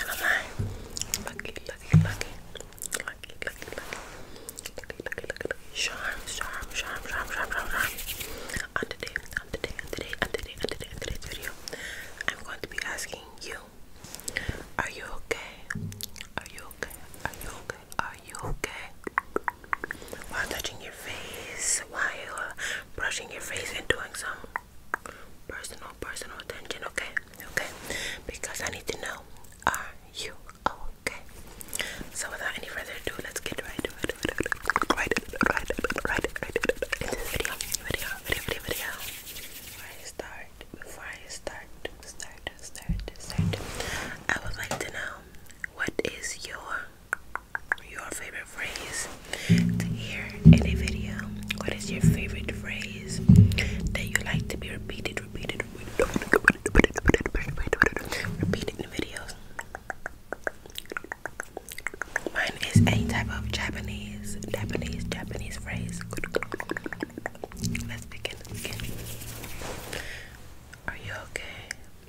And I'm lucky, lucky, lucky, lucky, lucky, lucky, lucky, lucky, lucky, On today, on today, on today, on today, on today, on today's video, I'm going to be asking you, are you okay? Are you okay? Are you okay? Are you okay? While touching while brushing your face and doing some personal personal attention okay okay because i need to know are you okay so without any further ado let's get right to it right right right right in this video video video video video before i start before i start start start start i would like to know what is your your favorite phrase to hear in a video. What is your favorite phrase that you like to be repeated, repeated, repeated, in videos? Mine is any type of Japanese, Japanese, Japanese phrase. Let's begin. Are you okay?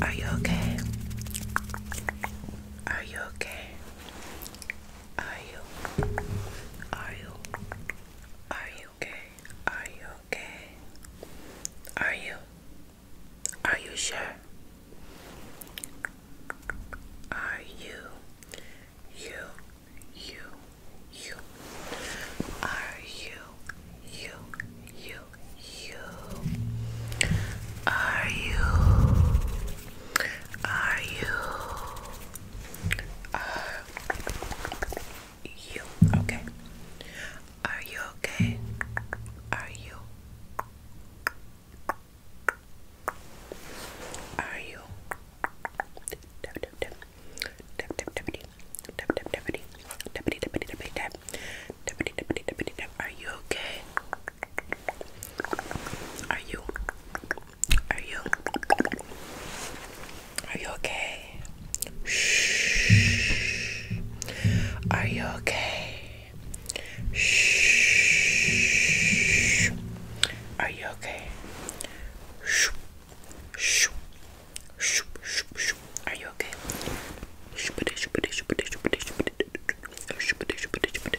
Are you okay? Are you okay? Are you? Are you? Are you okay? Are you okay? Are you? Are you sure? Are you? You? You? You? Are you? you, you, you. Are you? Are you? Are you okay? Are you okay? Are you? Are you? Are you okay? Are you? Are you? Are you okay? Shh. Are you okay? Shh. Are you okay? Shh. Shh. Shh. Shh. Shh. Are you okay?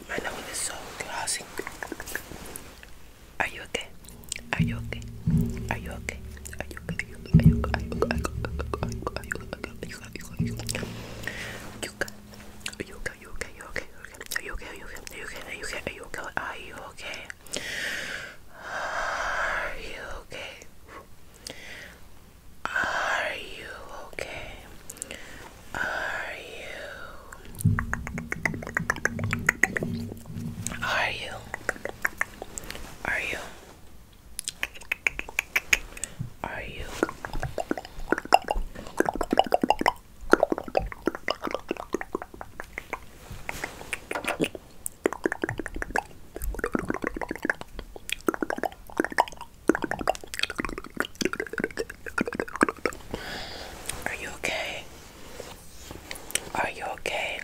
My nose is so glossy. Are you okay? Are you okay? Are you okay? Are you okay? Are you okay? Are you okay? You got are you okay? You okay? You okay? Are you okay? Are you okay? Are you okay? Are you okay? Are you okay? Are you okay? Are you okay? Are you okay? Are you? Are you? Are you? Are you? Are you okay? Are you okay?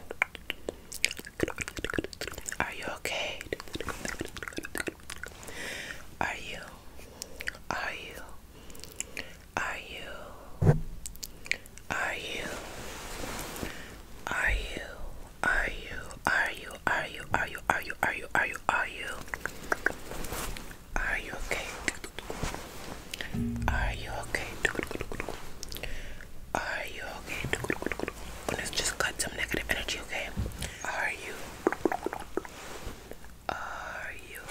Are you okay? Are you? Are you? Are you? Are you? Are you? Are you, are you, are you, are you, are you, are you, are you, are you? Are you okay? Are you okay? Are you okay? Let's just cut some negative energy, okay? Are you? Are you?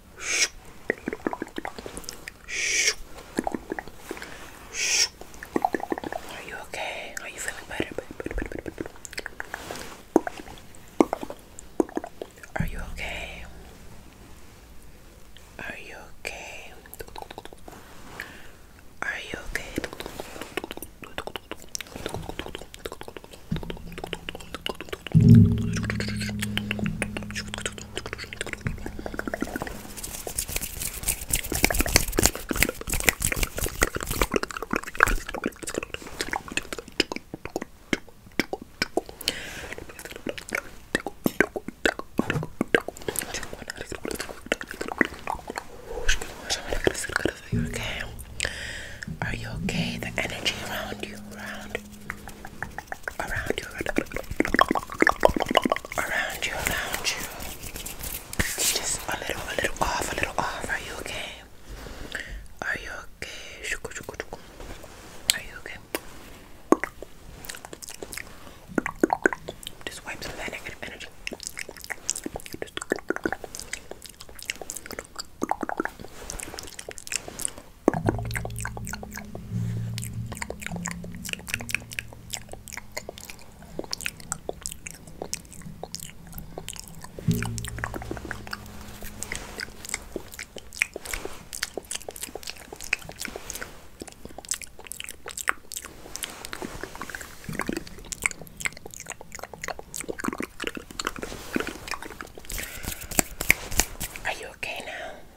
Are you okay? Are you feeling better? Are you okay? Are you okay? Are you okay? Are you okay? The energy around you, around around you, around you, around you. It's just a little, a little off, a little off. Are you okay? Are you okay? Are you okay? Just wipe some of that negative energy. Just are you okay now?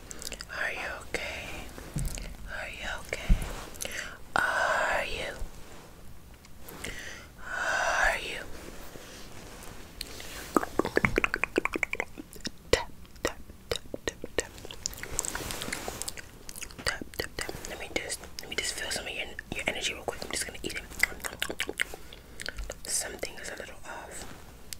Are you okay? Are you okay? Are you? Are you? Tap, tap, tap, tap, tap. Tap, tap, tap. Let me just, let me just feel some of your, your energy real quick. I'm just gonna eat it. Something is a little off.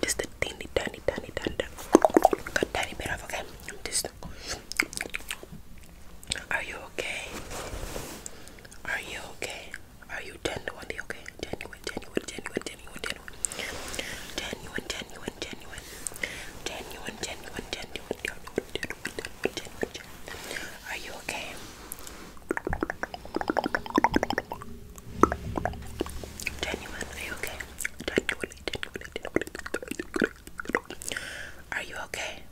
Just a tiny, tiny, tiny, tiny, tiny bit of okay. Just. Are you okay? Are you okay? Are you genuinely okay? Genuine, genuine, genuine, genuine, genuine, genuine, genuine, genuine, genuine, genuine, genuine, genuine, genuine. Are you okay? Genuine, are you okay? Are you okay?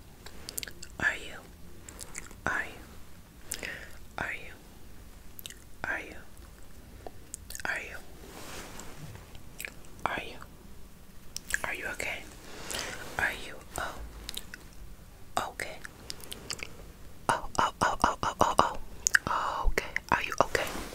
Are you? Are you? Are you? Are you? Are you? Are you? Are you okay? Are you oh okay? Oh oh oh oh oh oh oh okay. Are you okay?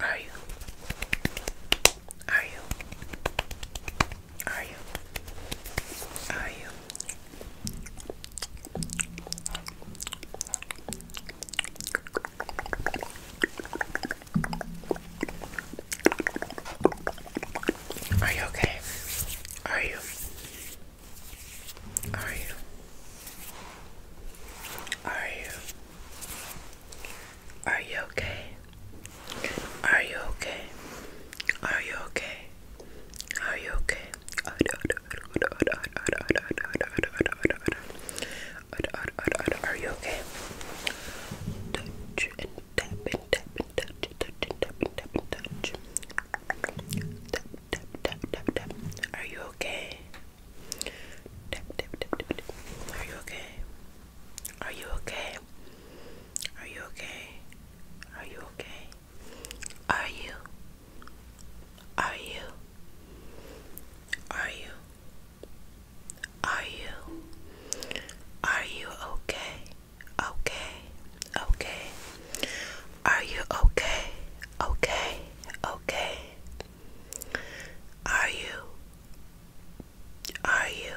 Are you? Are you? Are you? Are you? Are you okay? Are you? Are you? Are you? Are you okay? Are you okay? Are you okay? Are you okay? Are you okay? Touch and tap and tap and touch, and tap and tap and touch. Tap, tap, tap, tap, tap. Are you okay? Are you okay? Are you okay? Are you okay? Are you okay? Are you? Are you? Are you? Are you? Are you okay? Okay. Okay. Are you okay? Okay. Okay. Are you are you?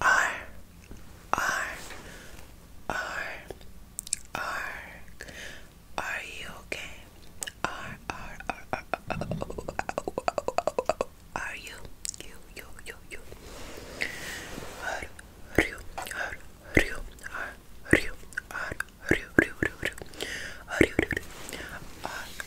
Are, are, are, are. you okay? Are, are, are, are, are, you? You, you, you, you. Are, are you? Are, are you? Are, are you? Are, are you? Are Are you?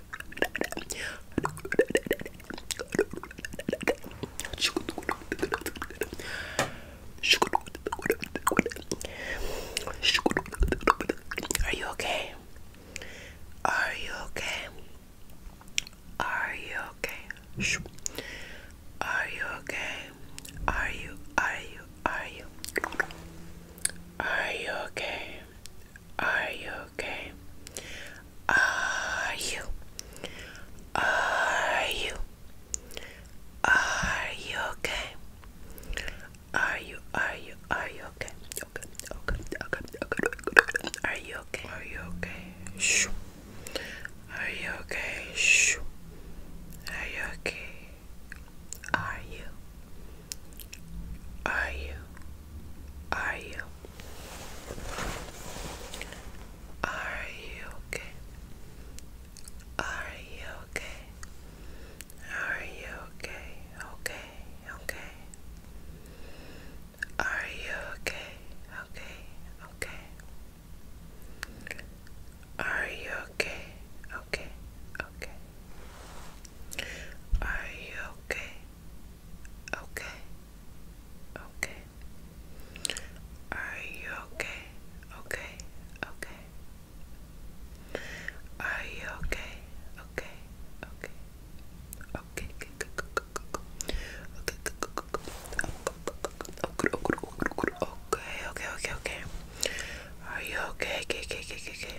Are you okay? Are you okay? Are you okay? Are you okay? Are you, are you, are you? Are you okay? Are you okay? Are you? Are you? Are you okay? Are you? Are you? Are you okay? Okay. Okay. Okay. Okay. okay. Are you okay? Are you okay? Shh. Are you okay? Shh. Are you okay? Are you? Are you? Are you? Are you okay? Are you okay? Are you okay? Okay, okay. Are you okay? Okay, okay. Are you okay? Okay, okay. Are you okay? Okay. Okay. Are you okay? Okay. Okay. Are you okay? Okay. Okay. Okay. Okay. Okay. Okay. Okay. Are you okay? Okay. Okay. Okay. Okay. Okay.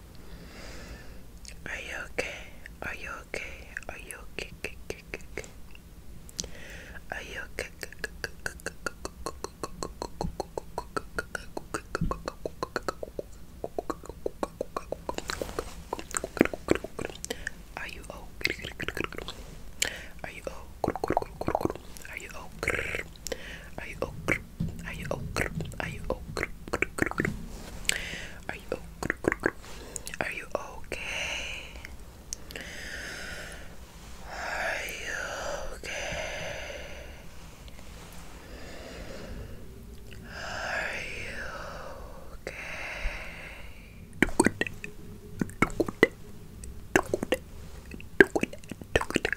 Are you okay? Are you okay? Are you okay? Are you okay? Are you oh? Are you oh? Are you oh? Are you oh? Are you oh? Are you oh? Are you oh? Are you okay? Are you okay? Are you okay? okay, okay,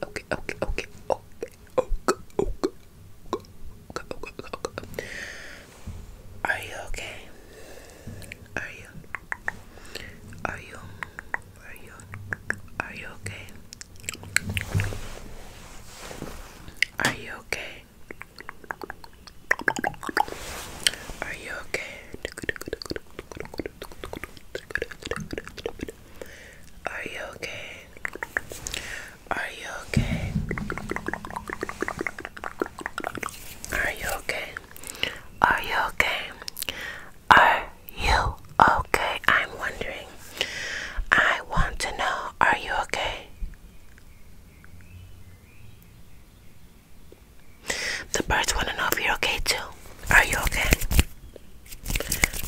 okay, okay, okay, okay, are you okay? Are you? Are you? Are you? Are you okay? Are you okay? Are you okay? Are you okay? Are you okay? Are you okay? Are you okay? Are you okay? I'm wondering. I want to know, are you okay? The birds want to know if you're okay too. Are you okay?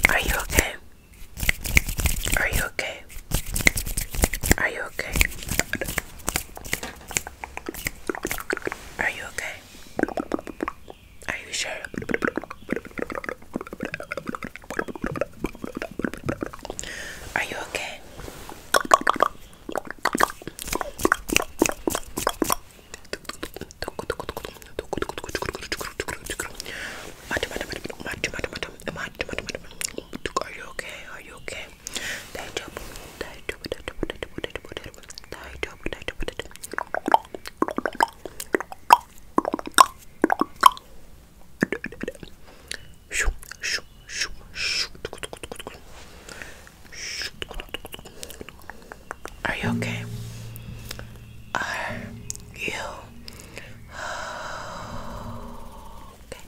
Are you okay? Are you okay? Are you okay? Are you okay? Are you sure? Are you okay? Are you okay? Are you okay? Are you okay? Are you okay?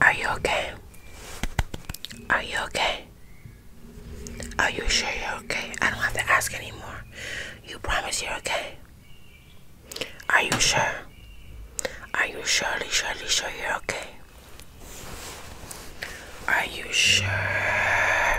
Are you okay? Are you okay? Are you sure you're okay? I don't have to ask anymore. You promise you're okay? Are you sure? Are you surely, surely sure you're okay? Are you sure?